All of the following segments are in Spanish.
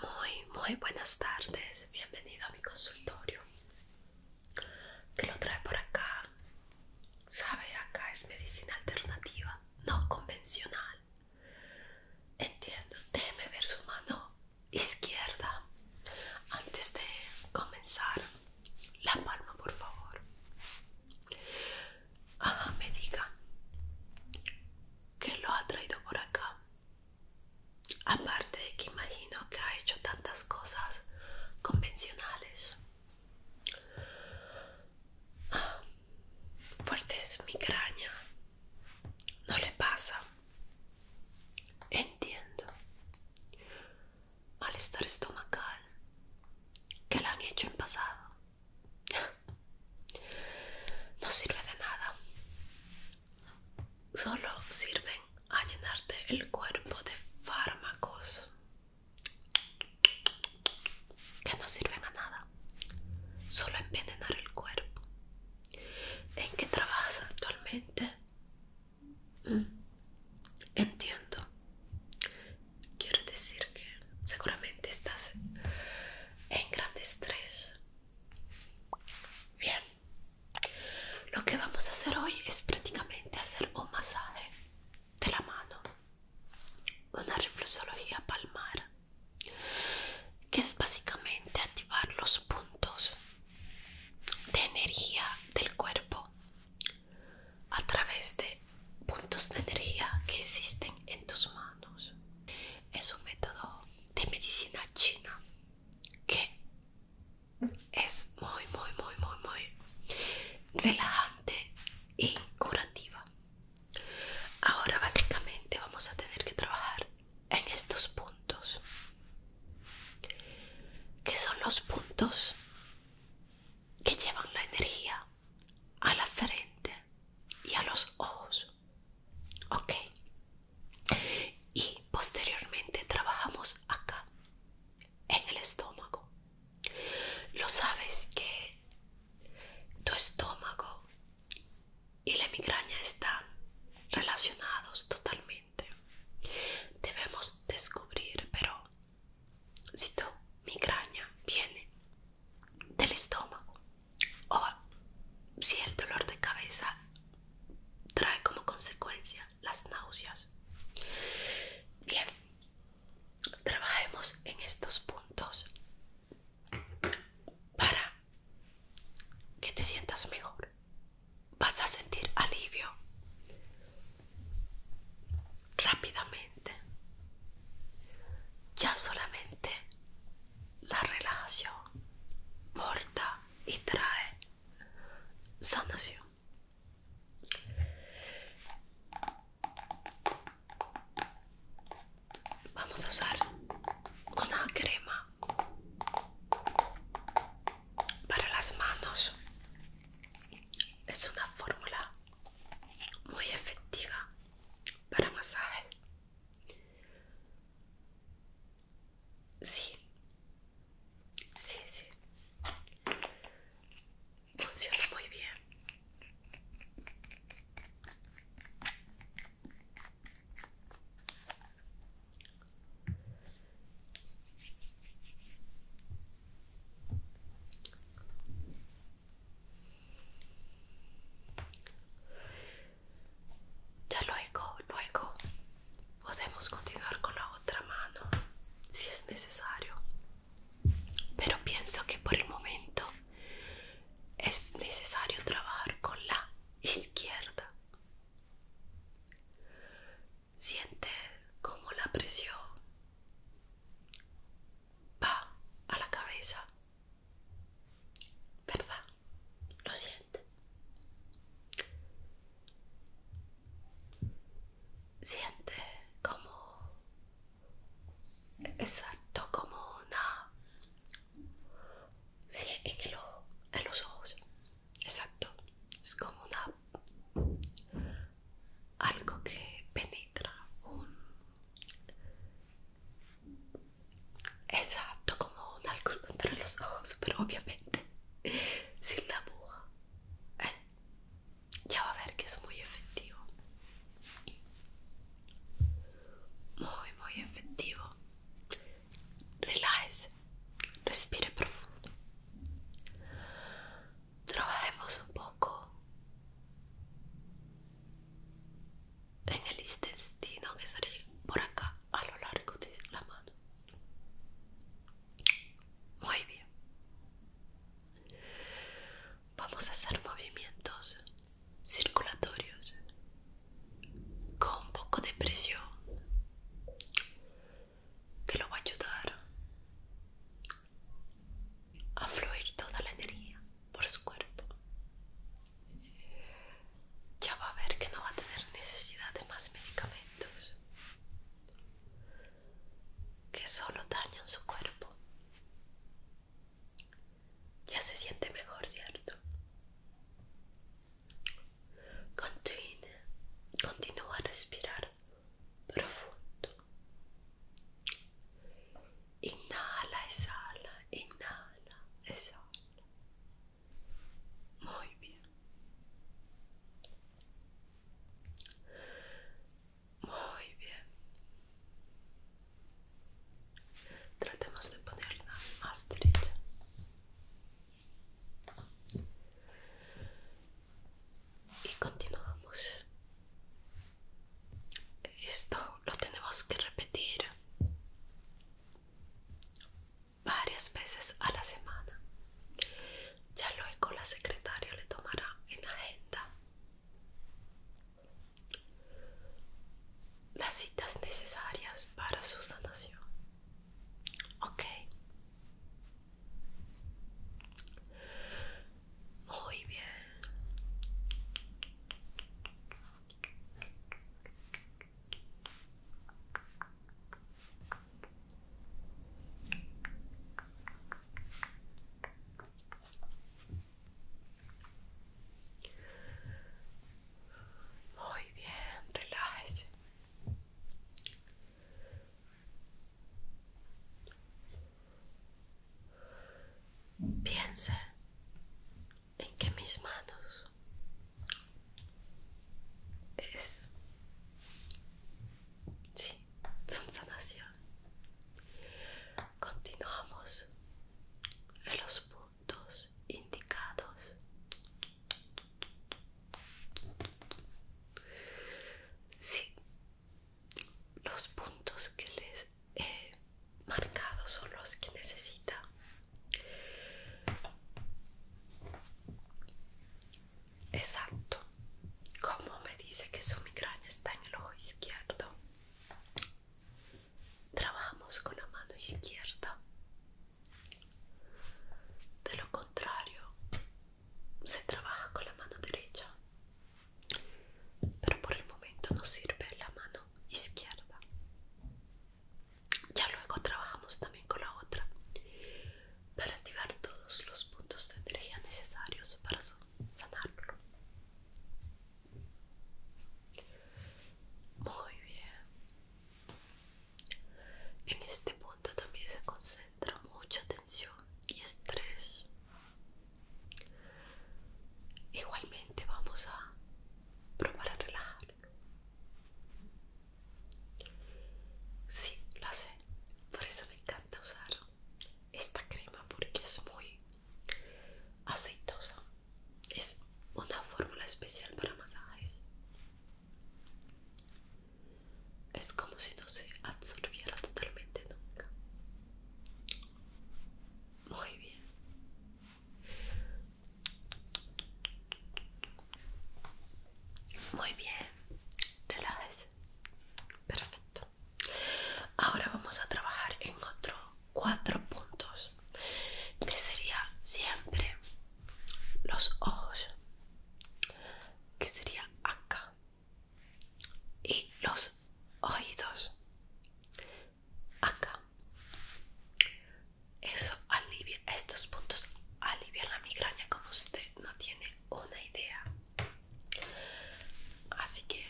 Muy, muy buenas tardes. Bienvenido a mi consultorio. Que lo trae por acá. Sabe, acá es medicina alternativa, no convencional. Entiendo. Déjeme ver su mano izquierda antes de comenzar la palma por favor me diga que lo ha traído por acá aparte de que imagino que ha hecho tantas cosas convencionales ah, fuerte es mi migraña no le pasa Entiendo. Malestar estomacal que la han hecho en pasado. No sirve de nada. Solo sirven a llenarte el cuerpo de fármacos que no sirven a nada. Solo envenenar el cuerpo. ¿En qué trabajas actualmente? Mm. Entiendo. Quiero decir que seguramente estás en gran estrés. Bien. Lo que vamos a hacer hoy es prácticamente hacer un masaje de la mano. Una reflexología palmar. Que es básicamente activar los puntos de energía del cuerpo a través de puntos de energía que existen en tus manos. Es un método de medicina china que es muy, muy, muy, muy, muy relajante y curativa. Ahora básicamente vamos a tener que trabajar en estos puntos. que son los puntos que llevan la energía a la frente y a los ojos? Ok. Y posteriormente trabajamos acá, en el estómago. Lo sabes que tu estómago y la migraña están relacionados totalmente. Debemos descubrir, pero si tu migraña viene del estómago o si el dolor de cabeza trae como consecuencia las náuseas. Bien, trabajemos en estos puntos para que te sientas mejor. Vas a sentir alivio rápidamente. Ya solamente la relajación porta y trae sanación. Vamos a usar una crema para las manos es una fórmula muy efectiva para masaje sí sí sí funciona muy bien ya luego, luego podemos continuar con la otra mano si es necesario. Pero pienso que por el momento es necesario trabajar con la izquierda. Siente como la presión va a la cabeza. ¿Verdad? Lo siente. Siente como... Exacto, como una Sí, en en los ojos. Exacto. Es como una... Algo que penetra un... Exacto, como un alcohol contra los ojos, pero obviamente sin la aguja. Eh, ya va a ver que es muy efectivo. Muy, muy efectivo. Relájese, respire profundo. Trabajemos un poco en el intestino que sale por acá a lo largo de la mano. Muy bien. Vamos a hacer movimientos circulatorios con un poco de presión que lo va a ayudar a fluir toda la energía por su cuerpo. Ya va a ver que no va a tener necesidad de más medicamentos que solo dañan su cuerpo. Ya se siente mejor, ¿cierto? Continua, continua a respirar profundo. Inhala, exhala, inhala, exhala. Muy bien. Muy bien. Tratemos de ponerla más derecha. Y continuamos. Esto lo tenemos que repetir varias veces a la semana. Ya luego la secretaria le tomará en agenda las citas necesarias para su sanación. Ok. Muy bien. Muy bien, relájese. Piense en que mis manos es sí, son sanación. Continuamos en los puntos indicados. Sí, los puntos que les he marcado son los que necesita. Exacto, como me dice que su migraña está en el ojo izquierdo trabajamos con la mano izquierda. De lo contrario, se trabaja con la mano derecha. Pero por el momento nos sirve la mano izquierda. Ya luego trabajamos también con la otra para activar todos los puntos de energía necesarios para sanarlo. Muy bien. En este punto también se concentra mucha tensión y estrés. Igualmente vamos a probar a relajarlo. Sí, lo sé. Por eso me encanta usar esta crema porque es muy aceitosa es una fórmula especial para masajes. Es como si no se absorbiera totalmente nunca. Muy bien. Muy bien. Relájese. Perfecto. Ahora vamos a trabajar en otro cuatro puntos que sería siempre los ojos que sería acá y los oídos acá eso alivia estos puntos alivian la migraña como usted no tiene una idea así que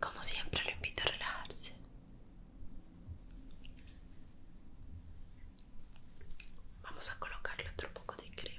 como siempre lo invito a relajarse Vamos a colocarle otro poco de crema.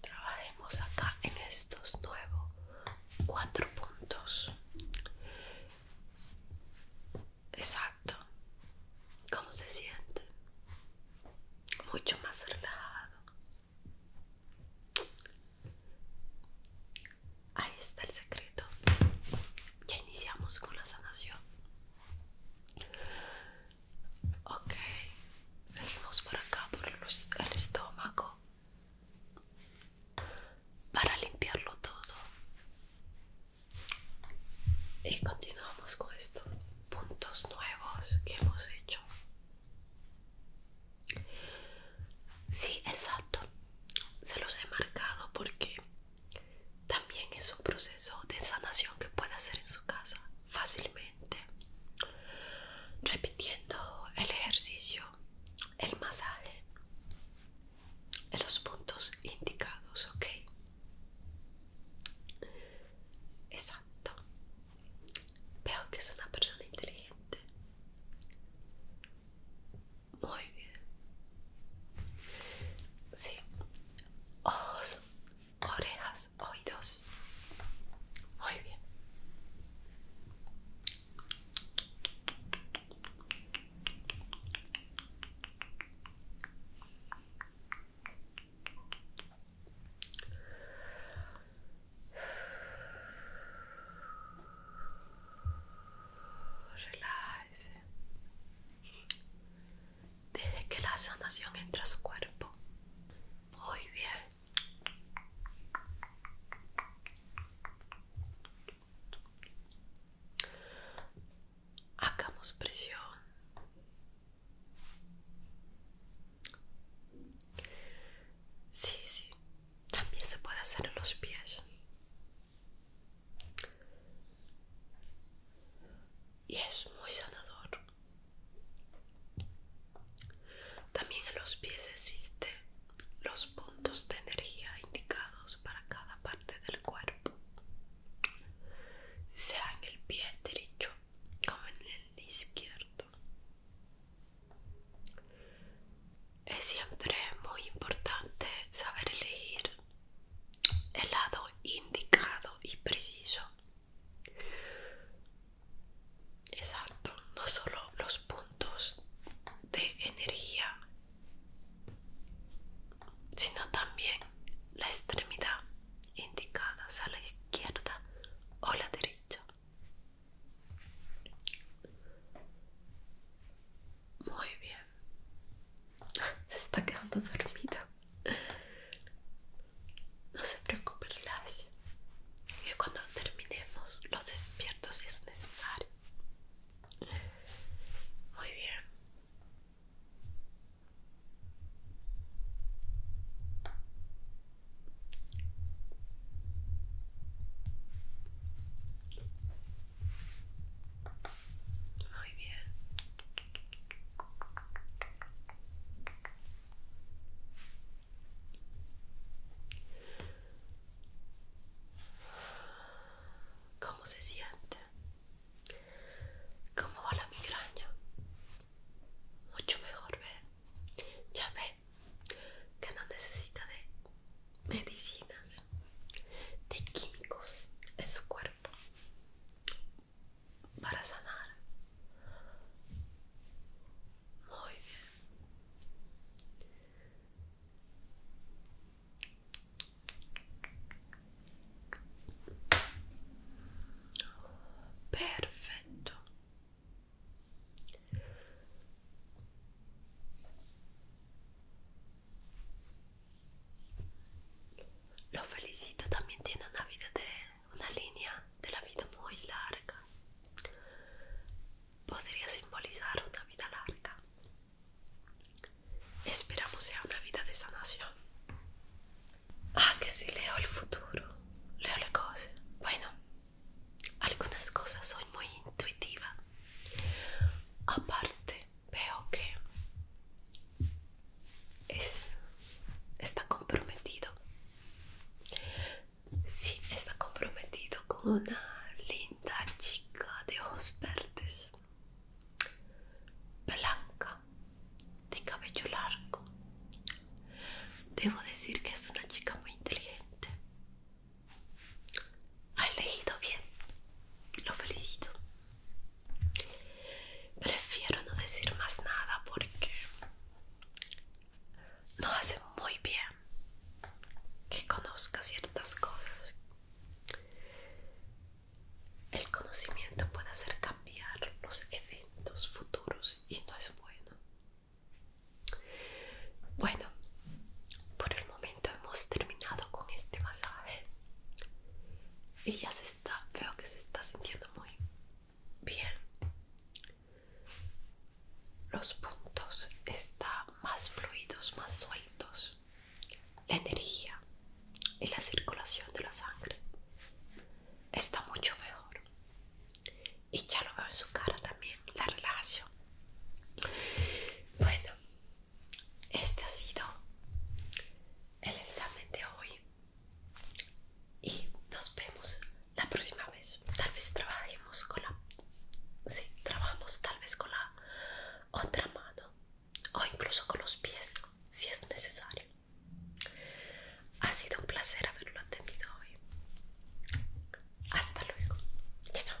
Trabajemos acá en estos nuevos cuatro puntos. Exacto. ¿Cómo se siente? Mucho más relajado. Ahí está el secreto. Ya iniciamos con la sanación. Ok, seguimos por acá por el, estómago para limpiarlo todo y continuamos con estos puntos nuevos que hemos hecho. Sí, exacto. Se los he marcado porque también es un proceso de sanación que puede hacer en su casa fácilmente, repitiendo el ejercicio, el masaje en los puntos indicados, ¿ok? Exacto. Veo que es una persona inteligente. Muy bien. Sí. Ojos, orejas, oídos. Muy bien. Relájese. Deje que la sanación entre a su cuerpo. Muy bien. Hagamos presión. Sí, sí. También se puede hacer en los pies y es muy sanador. También en los pies existe los puntos de energía indicados para cada parte del cuerpo, sea en el pie derecho como en el izquierdo. Es siempre muy importante saber elegir el lado indicado y preciso. Exacto, no solo los puntos de energía, sino también la extremidad indicada, a la izquierda o la derecha. Muy bien. Se está quedando dormida. No se preocupe, y Que cuando terminemos los despiertos si es necesario. Muy bien. Muy bien. ¿Cómo se siente? ¿Cómo va la migraña? Mucho mejor, ¿ver? Ya ve que no necesita de medicinas de químicos en su cuerpo para sanar. Muy bien. Perfecto lo felicito, también tiene una vida de una línea de la vida muy larga. Podría simbolizar una vida larga. Esperamos sea una vida de sanación. Ah, que si leo el futuro, leo las cosas. Bueno, algunas cosas soy muy intuitiva. Aparte, veo que está comprometido. Sí, está comprometido con una linda chica de ojos verdes, blanca, de cabello largo. Debo decir que es una chica muy inteligente ha elegido bien. Lo felicito. Prefiero no decir más nada porque no hace muy bien que conozca ciertas cosas. El conocimiento puede hacer cambiar los eventos futuros y no es bueno. Bueno, por el momento hemos terminado con este masaje y ya se está, veo que se está sintiendo muy bien. Los puntos están más fluidos, más sueltos. La energía y la circulación de la sangre está mucho mejor. Y ya lo veo en su cara también, la relajación. Bueno, este ha sido el examen de hoy y nos vemos la próxima vez. Tal vez trabajemos con la... Sí, trabajamos tal vez con la otra mano o incluso con los pies si es necesario. Ha sido un placer haberlo atendido hoy. Hasta luego. Chao.